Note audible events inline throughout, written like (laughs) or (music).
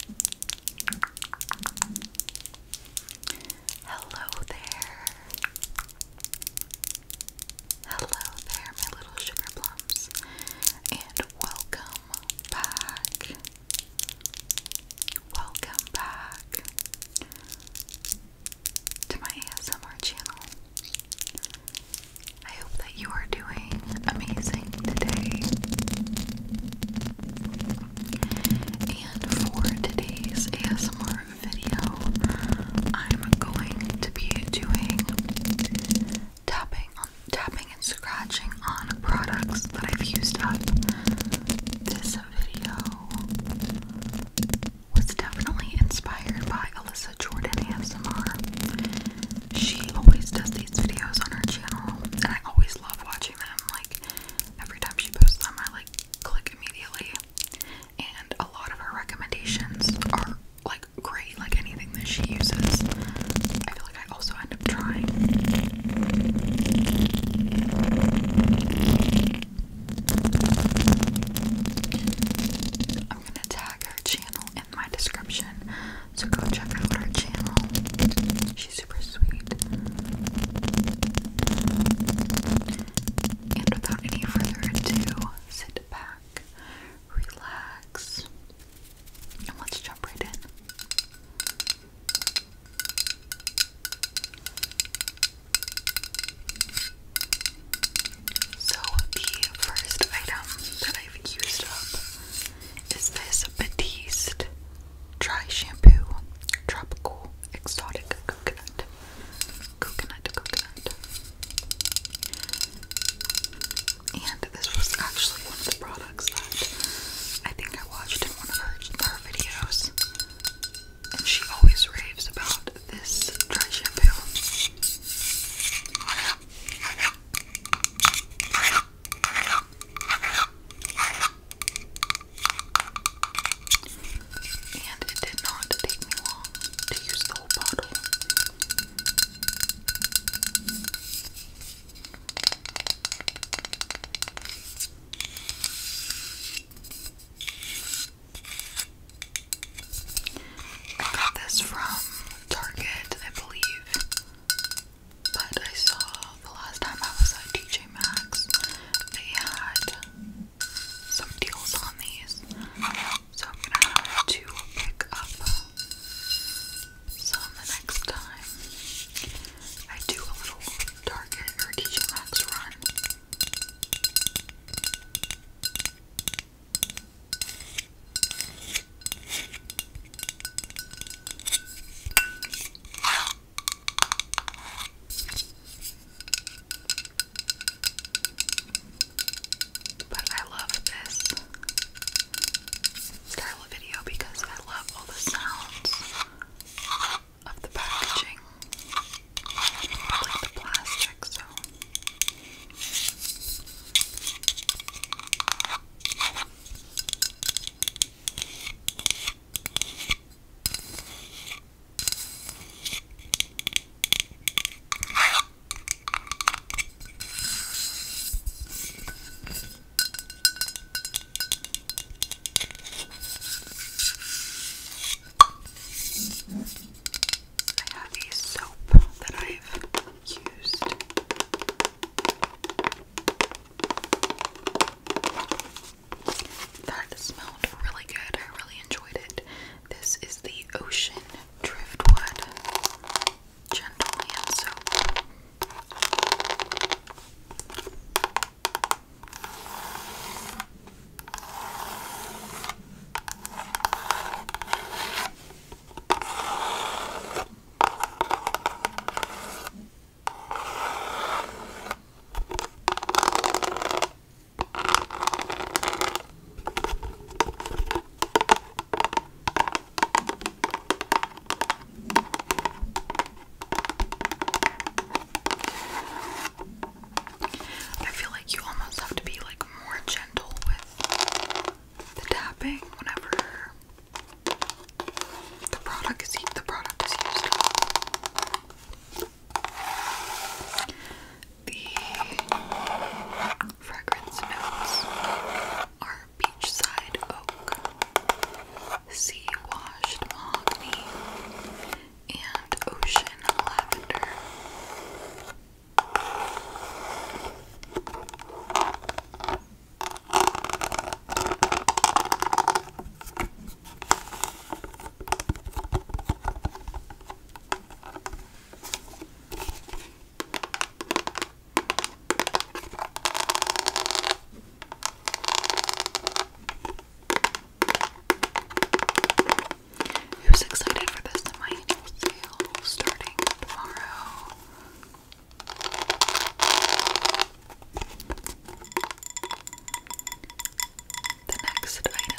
Hello there. Hello there, my little sugar plums, and welcome back. Welcome back to my ASMR channel. I hope that you are doing amazing today. And for today's ASMR video, I'm going to be doing tapping tapping and scratching on products that I've used up. This video was definitely inspired by Alyssa Jordan ASMR. She always does these videos on her channel, and I always love watching like every time she posts them, I like click immediately. And a lot of her recommendations are like great, like anything that she uses. I feel like I also end up trying. I'm gonna tag her channel in my description so go check out her channel. She's super sweet. And without any further ado, sit back, relax, and let's jump right in. So, the first item that I've used up is this Batiste Dry shampoo, tropical, exotic coconut, coconut, coconut. And this was actually one of the products that I think I watched in one of her, videos. And she always raves about this dry shampoo. And it did not take me long to use the whole bottle. I got this from Target, I believe. But I saw the last time I was at TJ Maxx, they had some deals on these. So I'm gonna have to pick up some the next time I do a little Target or TJ Maxx run. But I love this style of video because I love all the sounds of the packaging, like the plastic, so. I have a soap that I've used that smelled really good. I really enjoyed it. This is the Ocean Driftwood Gentle Soap. I feel like you almost have to be like more gentle with the tapping whenever the product is the product is used. The fragrance notes are beachside oak, sea washed mahogany, and ocean lavender. Who's excited for this? The My Angel Scale starting tomorrow. The next item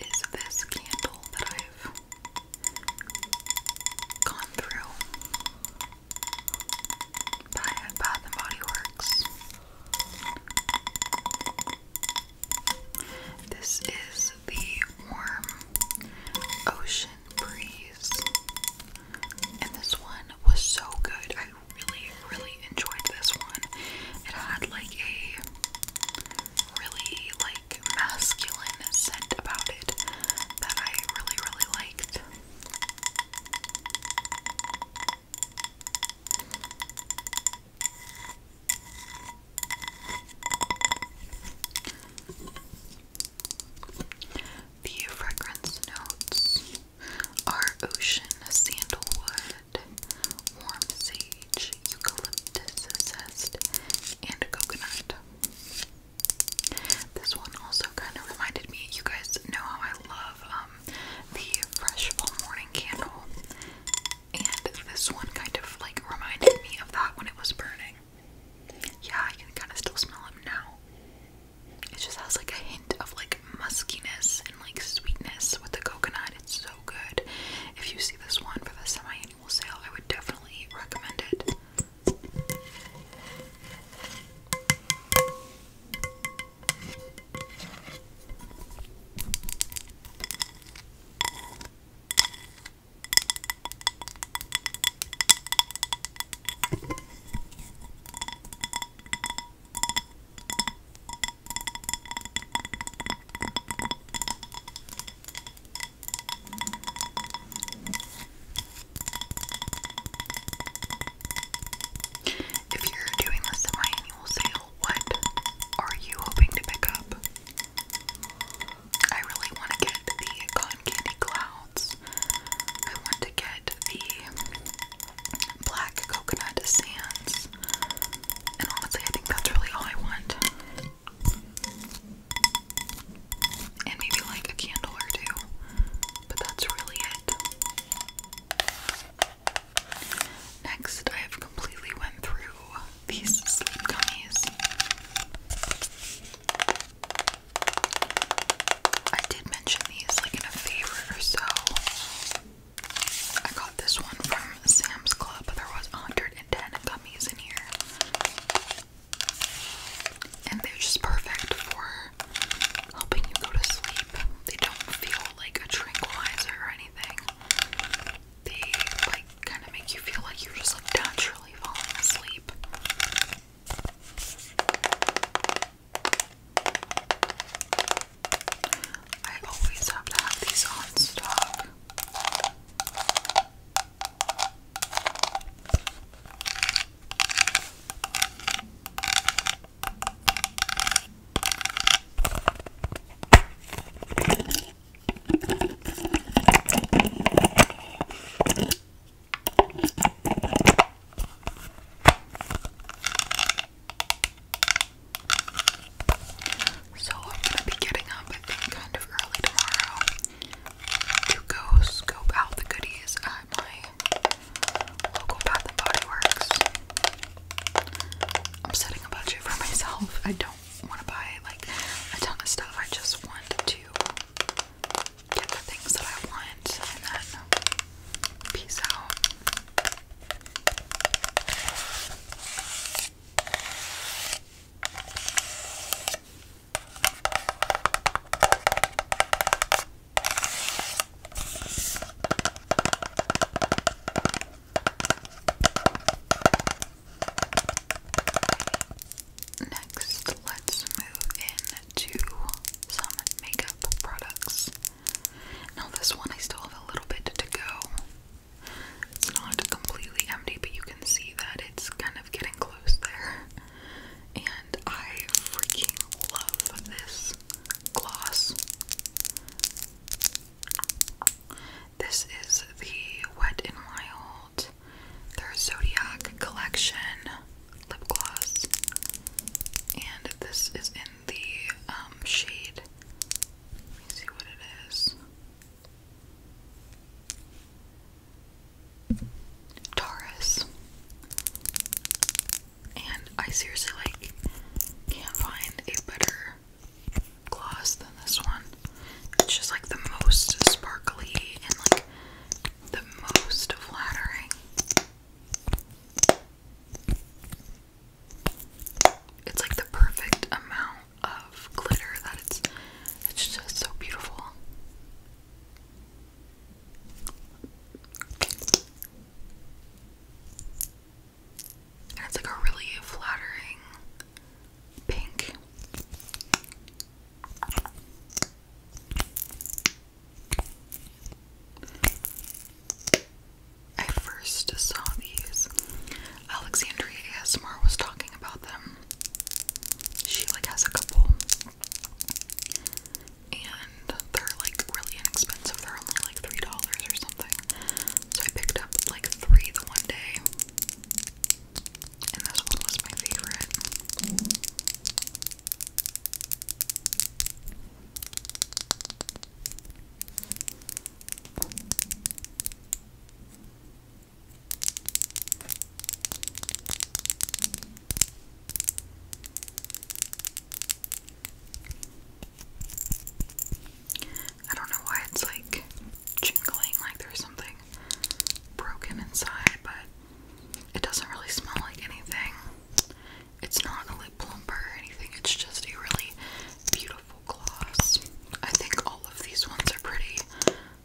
is this candle that I've gone through by Bath and Body Works. This is the warm ocean Breeze. And this one was so good. I really, really enjoyed this one. It had like a really like masculine scent about it that I really, really liked. The fragrance notes are ocean sandalwood, warm sage, eucalyptus and coconut. This one also kind of reminded me, you guys know how I love um, the fresh morning candle, and this one kind of like reminded me of that when it was burning. Yeah, I can kind of still smell them now. It just has like a hint of like muskiness and like sweetness with the coconut. It's so good. If you see this one for the semi annual sale, I would definitely recommend it. If you're doing this at my annual sale, what are you hoping to pick up? I really want to get the cotton candy clouds. I want to get the black coconut sands. And honestly, I think that's really all I want. And maybe like a candle or two. But that's really it. Next, I have completely went through these sleep gummies. I did mention these like in a favorite or so. I got this one from Sam's Club. but There was 110 gummies in here. And they're just perfect for helping you go to sleep. They don't feel like a tranquilizer or anything. They like kind of make you feel like you're just like naturally falling asleep. I always have to have these on stock. So I'm gonna be getting up I think kind of early tomorrow to go scope out the goodies at my local Bath and Body Works. I'm setting a budget for myself. I don't want to buy like a ton of stuff. I just want to get the things that I want and then peace out. Next, let's move into some makeup products. Now, this one I still have a little bit to go. It's not completely empty, but you can see that it's kind of getting close there. And I freaking love this gloss. This is the Wet n Wild their Zodiac Collection lip gloss, and this is in the um, shade. Let me see what it is. Taurus. And I seriously like can't find a better gloss than this one. It's just like the most sparkly and like the most flattering. It's like the perfect amount of glitter that it's it's just so beautiful. And it's like a really flattering pink. I first saw these. Alexandria ASMR was talking about them. She like has a couple. And they're like really inexpensive. They're only like $3 or something. So I picked up like three the one day and this one was my favorite. I don't know why it's like jingling like there's something broken inside, but it doesn't really smell like anything. It's not a lip plumper or anything, it's just a really beautiful gloss. I think all of these ones are pretty,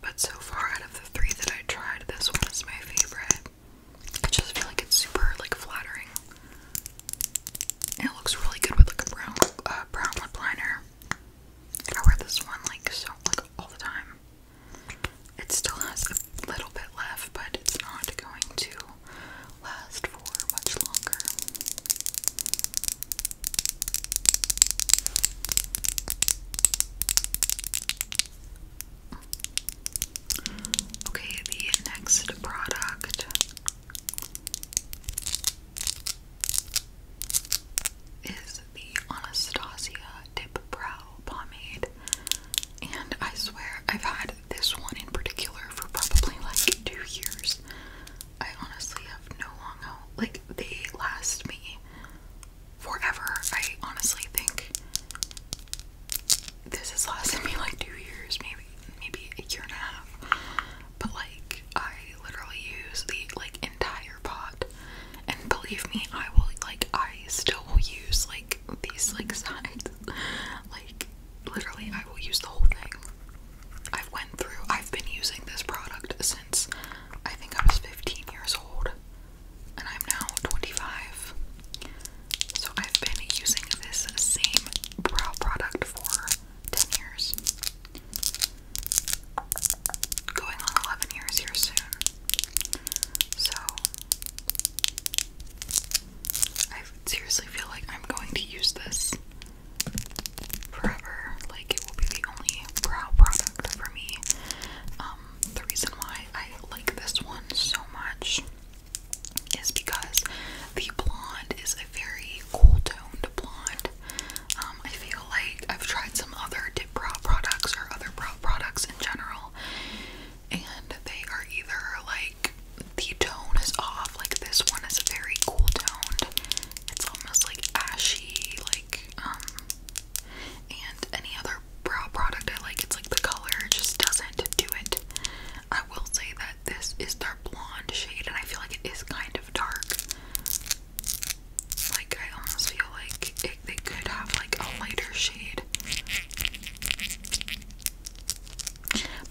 but so far out of the three that I tried, this one is my favorite. I just feel like it's super like flattering. it looks really good with like a brown uh, brown lip liner. I wear this one like so like all the time. It still has a little bit left, but it's not going to last for much longer. Okay, the next product is the Anastasia Dip Brow Pomade. And I swear I've had this one in particular for probably like two years. I honestly have no long out. Like, they last me forever. I honestly think this has lasted me like two years, maybe maybe a year and a half. But like I literally use the like entire pot and believe me, I will like I still will use like these like sides. (laughs) like literally I will use the whole thing. I've went through I've been using this product since I think I was 15 years old and I'm now 25. So I've been using this same brow product for 10 years going on 11 years here soon. So, I seriously feel like I'm going to use this forever. Like, it will be the only brow product for me. Um, the reason why I like this one so much is because the blonde is a very cool toned blonde. Um, I feel like I've tried some other brow products or other brow products in general, and they are either like the tone is off, like this one is very cool toned, it's almost like ashy, like um, and any other brow product I like, it's like the color just doesn't do it. I will say that this is their blonde shade, and I feel like it is kind of dark. Like I almost feel like they could have like a lighter shade.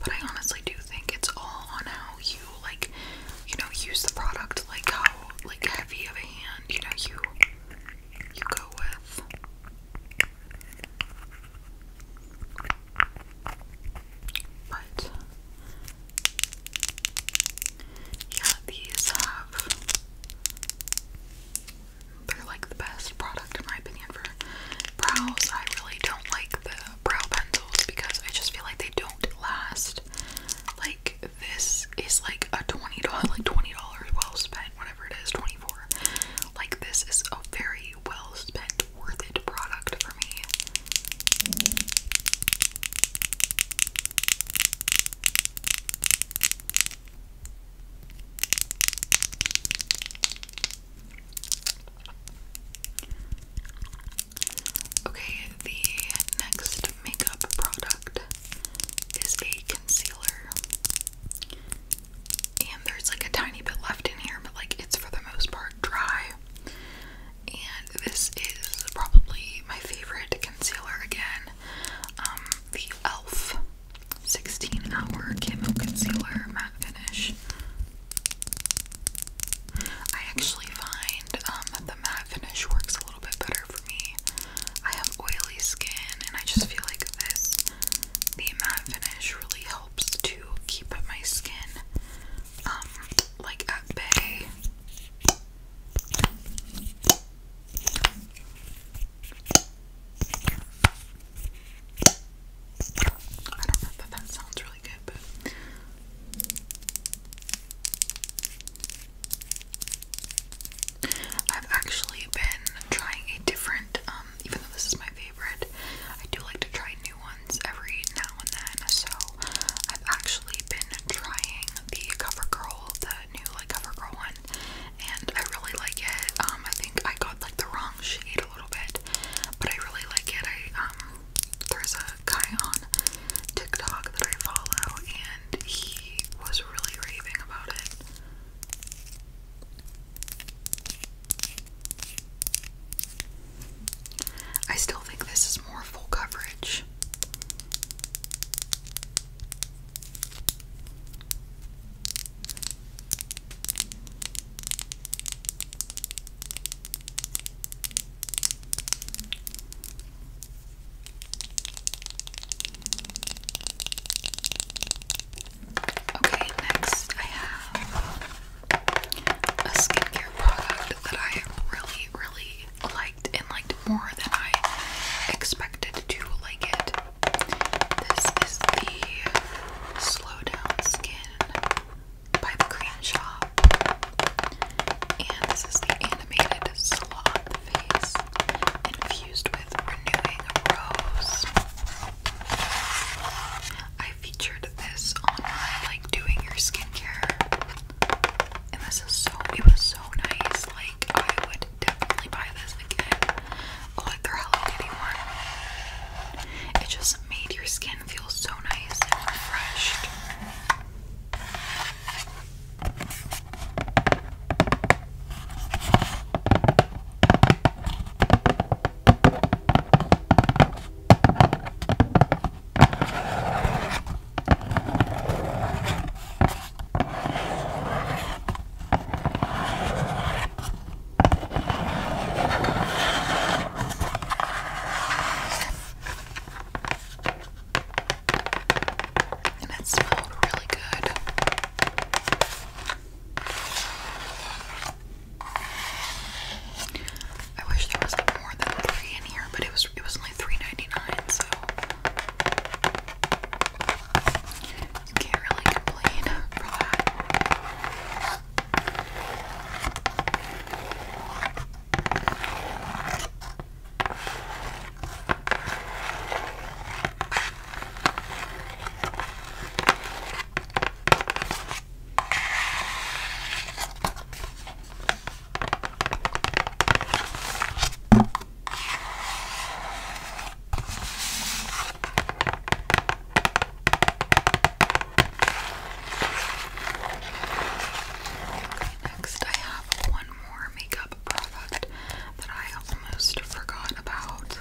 But I honestly do think it's all on how you like, you know, use the product. Like how like heavy of a hand, you know, you you go with. But yeah, these have they're like the best product in my opinion for brows. I really don't like the brow pencils because I just feel like they don't last. Like this is like a twenty dollar (laughs) like twenty dollars well spent, whatever it is, twenty four. Like this is a very well spent, worth it product for me. Okay, the next makeup product is a concealer. And there's like a tiny bit left in here, but like it's for the most part dry. And this is probably my favorite concealer again. Um, the e.l.f. 16 Hour Camo Concealer Matte Finish. I actually find um, that the matte finish works a little bit better for me. I have oily skin, and I just feel like this, the matte finish, really helps to keep my skin um, like at bay. I don't know if that sounds really good, but. I've actually been trying a different, um, even though this is my favorite, I do like to try new ones every now and then, so I've actually been trying the CoverGirl, the new like CoverGirl one, and I really like it. Um, I think I got like the wrong shade a little bit, but I really like it. I um, there's a guy on TikTok that I follow, and he was really raving about it. I still think this is more full coverage. Okay, next I have a skincare product that I really, really liked and liked more than I expected to like it. This is the Slow Down Skin by the Cream Shop. And this is the animated sloth face infused with renewing rose. I featured this on my like doing your skincare. And this is so it was so nice. Like I would definitely buy this again. I oh, like their Hello Kitty one. It just made your skin feel so nice and refreshed. And it smelled really good. I wish there was more than three in here, but it was it was only $3.99, so you can't really complain for that. Next, I have one more makeup product that I almost forgot about.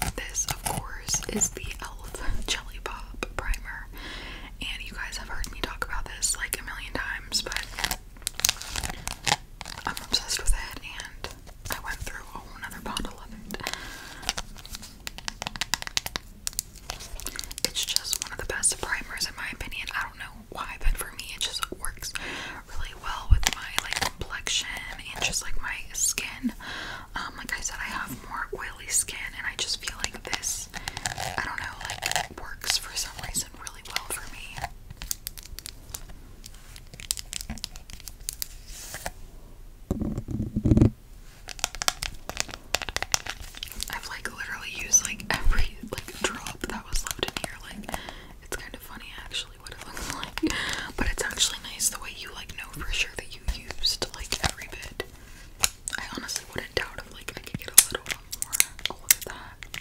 And this, of course, is the e.l.f. Jelly Pop Primer. And you guys have heard me talk about this like a million times but I'm obsessed with it and I went through a whole nother bottle of it. It's just one of the best primers in my opinion. I don't know why, but for me it just works really well with my like complexion and just like my skin. Um, like I said, I have more oily skin and I just feel like this I don't know, like, works for some reason really well for me. I've like literally used like every like drop that was left in here. Like it's kind of funny actually what it (laughs) looks like, but it's actually nice the way you like know for sure that you used like every bit. I honestly wouldn't doubt if like I could get a little more. that.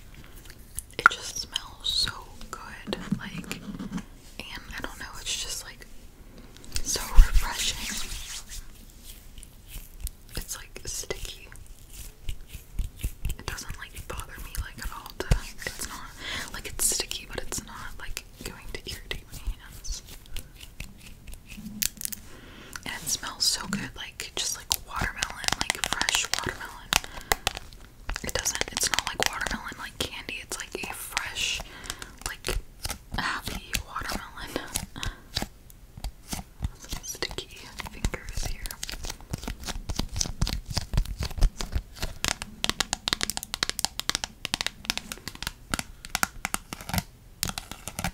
It just smells so good. Like, and I don't know, it's just like so refreshing. It's like sticky. It doesn't like bother me like at all. it's not like it's sticky, but it's not like going to irritate my And it smells so good just like watermelon, like fresh watermelon. It doesn't, it's not like watermelon like candy, it's like a fresh, like happy watermelon. sticky fingers here.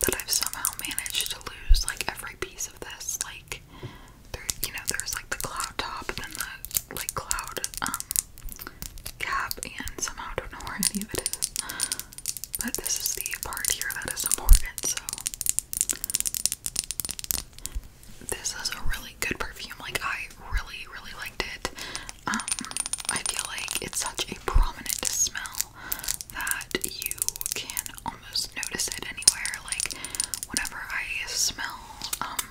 that I've somehow managed to lose like every piece of this. Like there you know, there's like the cloud top and then the like cloud um cap and somehow don't know where any of it is. But this is the part here that is important, so this is a really good perfume. Like I really, really liked it. Um, I feel like it's such a prominent smell that you can almost notice it anywhere. Like whenever I smell, um,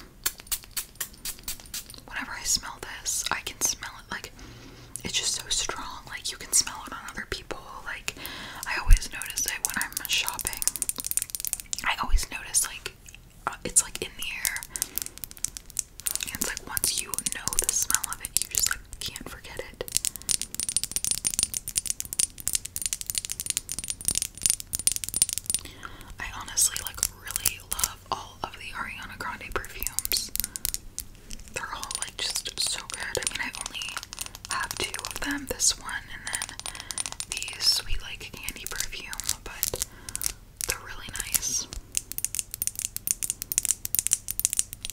whenever I smell this, I can smell it. Like it's just so strong. Like you can smell it on other people. Like I always notice it when I'm shopping. I always notice like uh, it's like in the air. It's like once you know the smell of it, you just can't forget it. I honestly like really love all of the Ariana Grande perfumes. They're all like just so good. I mean, I only have two of them this one and then the sweet like candy perfume, but they're really nice.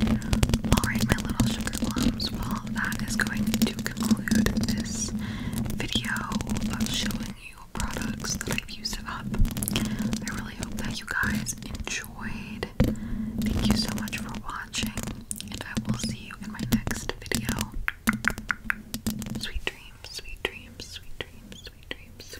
Alright, my little sugar plums, well, that is going to conclude this video of showing you products that I've used up. I really hope that you guys enjoyed. Thank you so much for watching, and I will see you in my next video. Sweet dreams, sweet dreams, sweet dreams, sweet dreams.